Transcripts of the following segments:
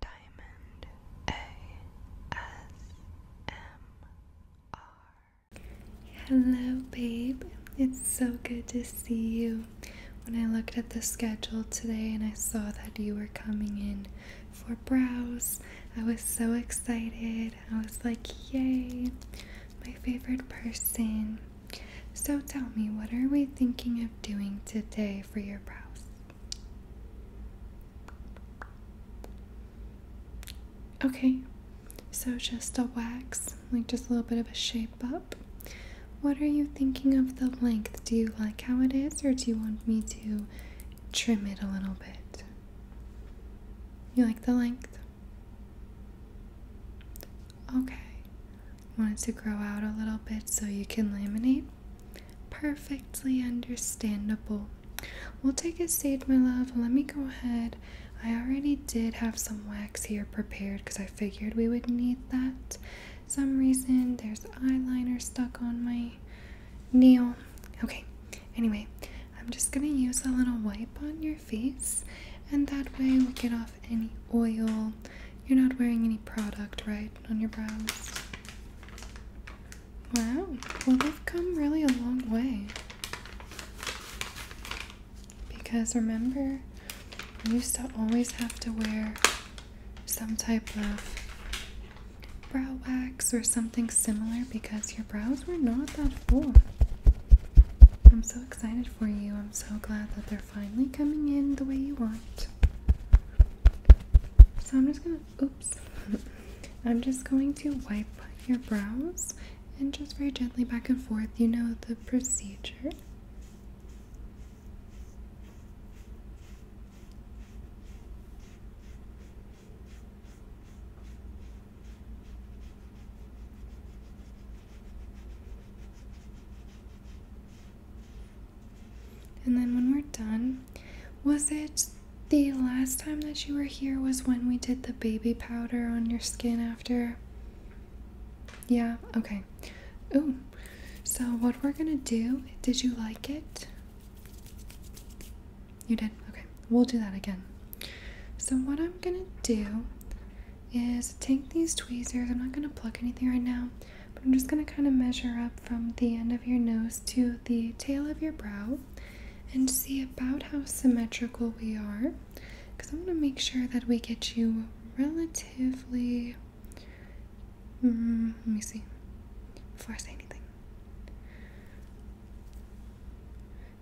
Diamond ASMR. Hello, babe. It's so good to see you. When I looked at the schedule today and I saw that you were coming in for brows, I was so excited. I was like, yay, my favorite person. So tell me, what are we thinking of doing today for your brows? Okay, so just a wax, like just a little bit of a shape up. What are you thinking of the length? Do you like how it is, or do you want me to trim it a little bit? You like the length? Okay. Want it to grow out a little bit so you can laminate? Perfectly understandable. We'll take a seat, my love. Let me go ahead. I already did have some wax here prepared because I figured we would need that. Some reason there's eyeliner stuck on my nail. Okay, anyway, I'm just gonna use a little wipe on your face, and that way we get off any oil. You're not wearing any product, right? on your brows. Wow, well, they've come really a long way. Because remember, I used to always have to wear some type of brow wax or something similar because your brows were not that full. I'm so excited for you. I'm so glad that they're finally coming in the way you want. So I'm just gonna, oops, I'm just going to wipe your brows and just very gently back and forth. You know the procedure. And then when we're done, was it the last time that you were here was when we did the baby powder on your skin after? Yeah, okay. Ooh. So what we're gonna do, did you like it? You did? Okay. We'll do that again. So what I'm gonna do is take these tweezers. I'm not going to pluck anything right now, but I'm just going to kind of measure up from the end of your nose to the tail of your brow and see about how symmetrical we are because I want to make sure that we get you relatively. Mm, let me see before I say anything.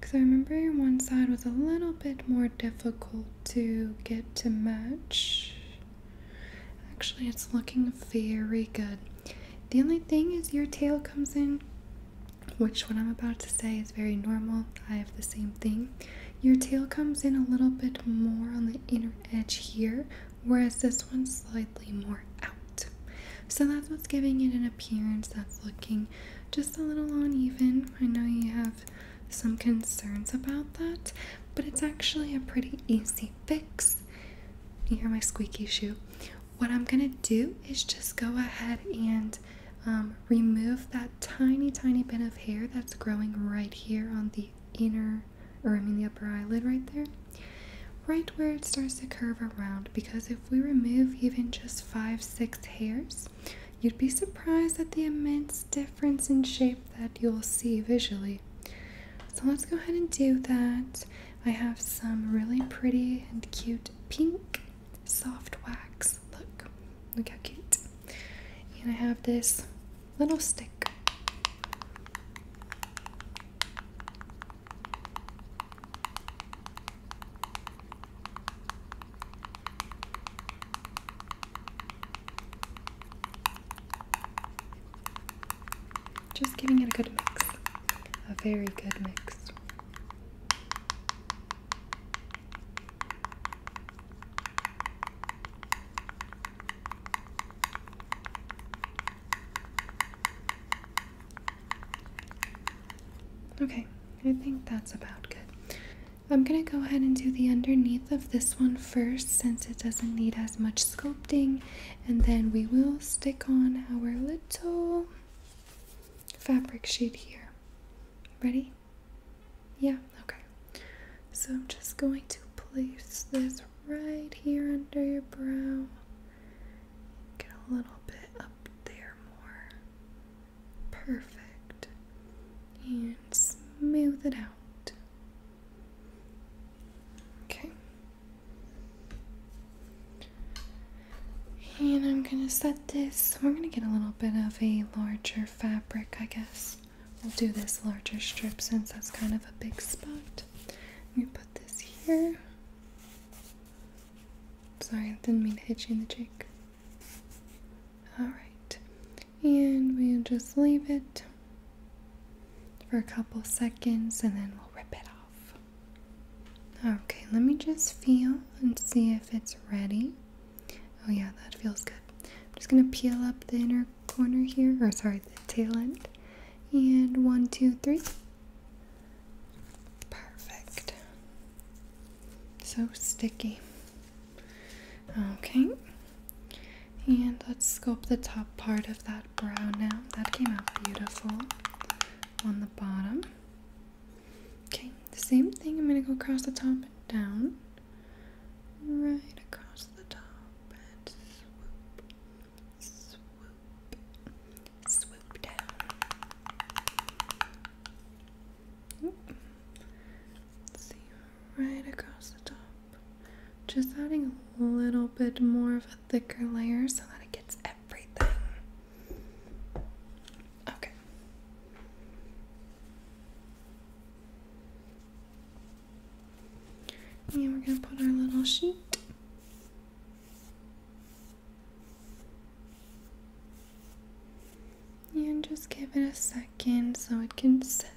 Because I remember your one side was a little bit more difficult to get to match. Actually, it's looking very good. The only thing is your tail comes in, which what I'm about to say is very normal. I have the same thing. Your tail comes in a little bit more on the inner edge here, whereas this one's slightly more out. So that's what's giving it an appearance that's looking just a little uneven. I know you have some concerns about that, but it's actually a pretty easy fix. You hear my squeaky shoe. What I'm gonna do is just go ahead and um, remove that tiny, tiny bit of hair that's growing right here on the inner, or I mean the upper eyelid right there, right where it starts to curve around. Because if we remove even just five, six hairs, you'd be surprised at the immense difference in shape that you'll see visually. So let's go ahead and do that. I have some really pretty and cute pink soft wax. Look, look how cute. And I have this little stick. Just giving it a good mix, a very good mix. Okay, I think that's about good. I'm going to go ahead and do the underneath of this one first since it doesn't need as much sculpting and then we will stick on our little fabric sheet here. Ready? Yeah, okay. So I'm just going to place this right here under your brow. Get a little bit up there more perfect and smooth it out. Okay. And I'm going to set this. We're going to get a little bit of a larger fabric, I guess. We'll do this larger strip since that's kind of a big spot. We put this here. Sorry, I didn't mean to hit you in the cheek. Alright, and we'll just leave it for a couple seconds and then we'll rip it off. Okay, let me just feel and see if it's ready. Oh, yeah, that feels good. I'm just gonna peel up the inner corner here, or sorry, the tail end. And one, two, three. Perfect. So sticky. Okay. And let's scope the top part of that brow now. That came out beautiful on the bottom. Okay, the same thing. I'm going to go across the top and down. Right across the top and swoop, swoop, swoop down see, right across the top. Just adding a little bit more of a thicker layer so that it gets everything. Okay. And we're going to put our little sheet and just give it a second so it can set.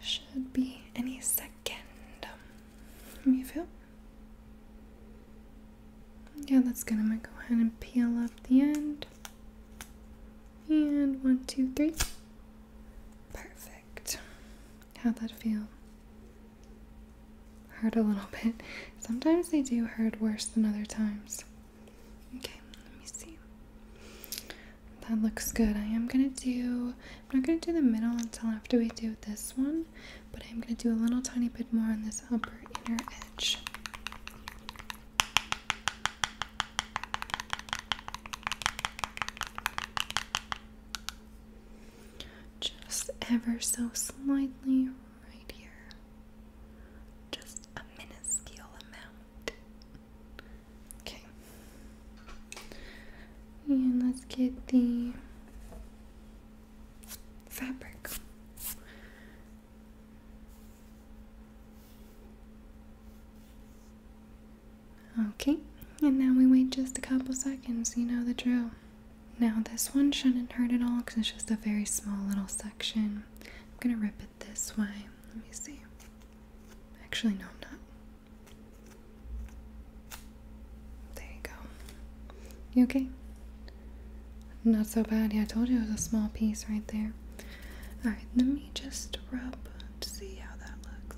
Should be any second. Um, you feel? Yeah, that's good. I'm gonna go ahead and peel up the end. And one, two, three. Perfect. How'd that feel? hurt a little bit. Sometimes they do hurt worse than other times. Okay, let me see. That looks good. I am gonna do, I'm not gonna do the middle until after we do this one, but I'm gonna do a little tiny bit more on this upper inner edge. Just ever so slightly right here. Just a minuscule amount. Okay. And let's get the fabric. Okay, and now we wait just a couple seconds, you know the drill. Now this one shouldn't hurt at all because it's just a very small little section. I'm gonna rip it this way. Let me see. Actually, no, I'm not. There you go. You okay? Not so bad. Yeah, I told you it was a small piece right there. Alright, let me just rub to see how that looks.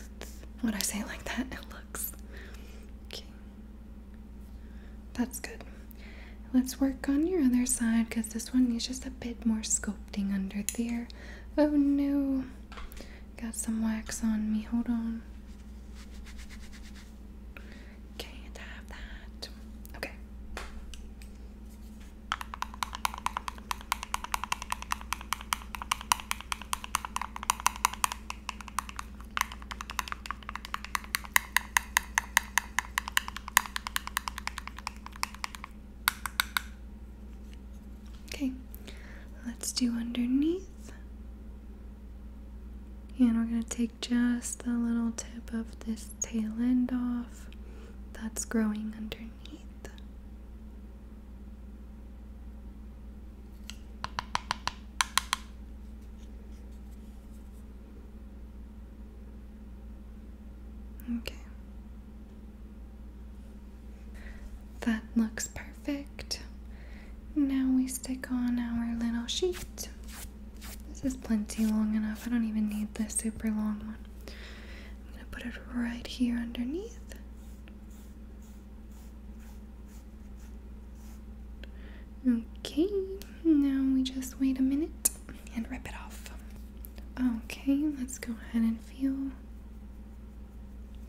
Looks. What I say like that? It looks. Okay, that's good. Let's work on your other side because this one needs just a bit more sculpting under there. Oh no, got some wax on me. Hold on. Can't have that. Okay. Okay, let's do underneath. And we're going to take just the little tip of this tail end off that's growing underneath. Okay. That looks perfect. Now we stick on our little sheet. This is plenty long enough. I don't even need the super long one. I'm going to put it right here underneath. Okay, now we just wait a minute and rip it off. Okay, let's go ahead and feel.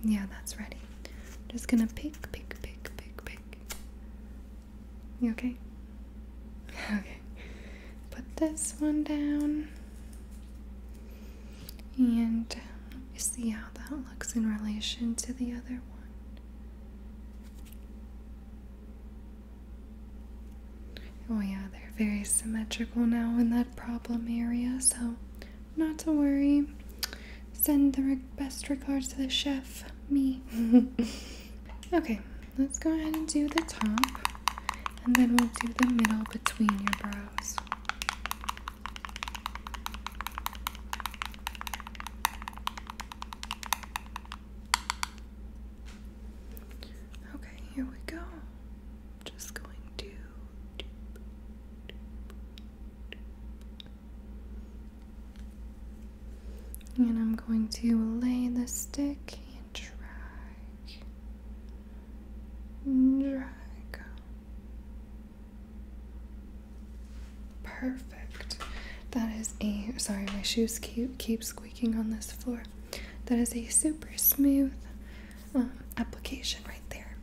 Yeah, that's ready. just gonna pick, pick, pick, pick, pick. You okay? Okay. Put this one down. And let me see how that looks in relation to the other one. Oh, yeah, they're very symmetrical now in that problem area, so not to worry. Send the best regards to the chef, me. okay, let's go ahead and do the top, and then we'll do the middle between your brows. Okay, here we go. Just going to. And I'm going to lay the stick and drag, drag, Perfect. That is a sorry, my shoes keep keep squeaking on this floor. That is a super smooth um, application right there.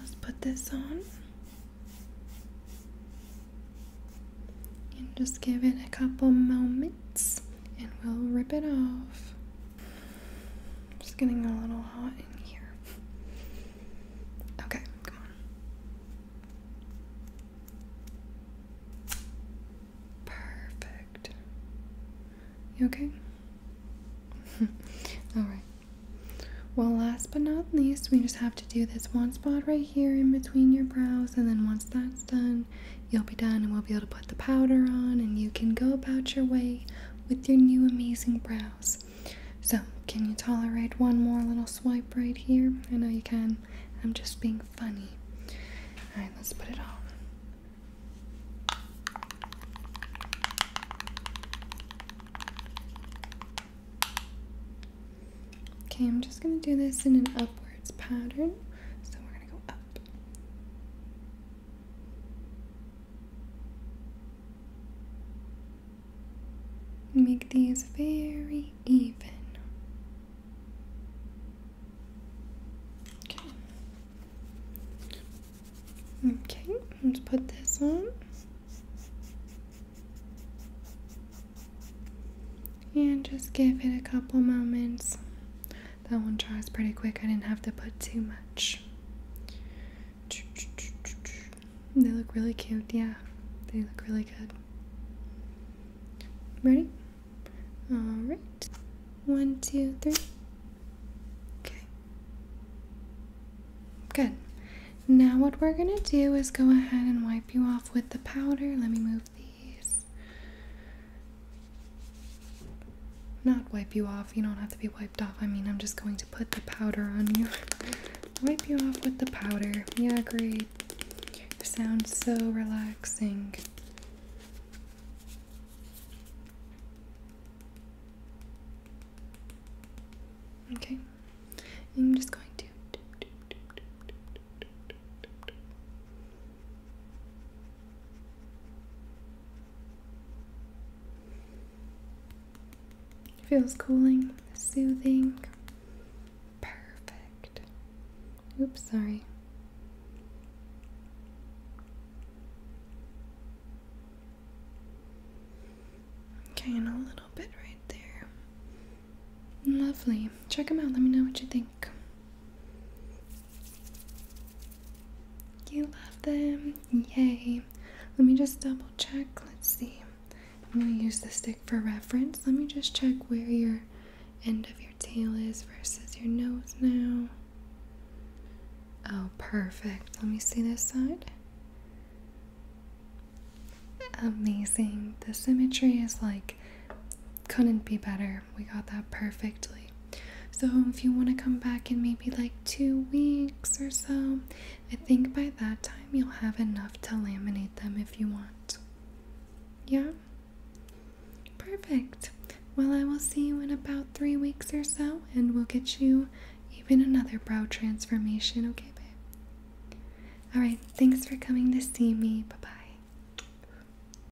let's put this on and just give it a couple moments, and we'll rip it off just getting a little hot in here. Okay, come on. Perfect. You okay? Alright. Well, last but not least, we just have to do this one spot right here in between your brows, and then once that's done, you'll be done and we'll be able to put the powder on and you can go about your way with your new amazing brows. So, can you tolerate one more little swipe right here? I know you can. I'm just being funny. Alright, let's put it on. Okay, I'm just going to do this in an upwards pattern. So we're going to go up Make these very even. Okay. Okay, let's put this on. And just give it a couple moments that one dries pretty quick. I didn't have to put too much. They look really cute, yeah. They look really good. Ready? Alright. One, two, three. Okay. Good. Now what we're going to do is go ahead and wipe you off with the powder. Let me move these. Not wipe you off, you don't have to be wiped off. I mean, I'm just going to put the powder on you. wipe you off with the powder. Yeah, great. Sounds so relaxing. Okay, I'm just going to feels cooling, soothing. Perfect. Oops, sorry. Okay, and a little bit right there. Lovely. Check them out. Let me know what you think. You love them. Yay. Let me just double check. Let's see. I'm going to use the stick for reference. Let me just check where your end of your tail is versus your nose now. Oh, perfect. Let me see this side. Amazing. The symmetry is like couldn't be better. We got that perfectly. So if you want to come back in maybe like two weeks or so, I think by that time you'll have enough to laminate them if you want. Yeah? Perfect. Well, I will see you in about three weeks or so, and we'll get you even another brow transformation, okay, babe? Alright, thanks for coming to see me. Bye bye.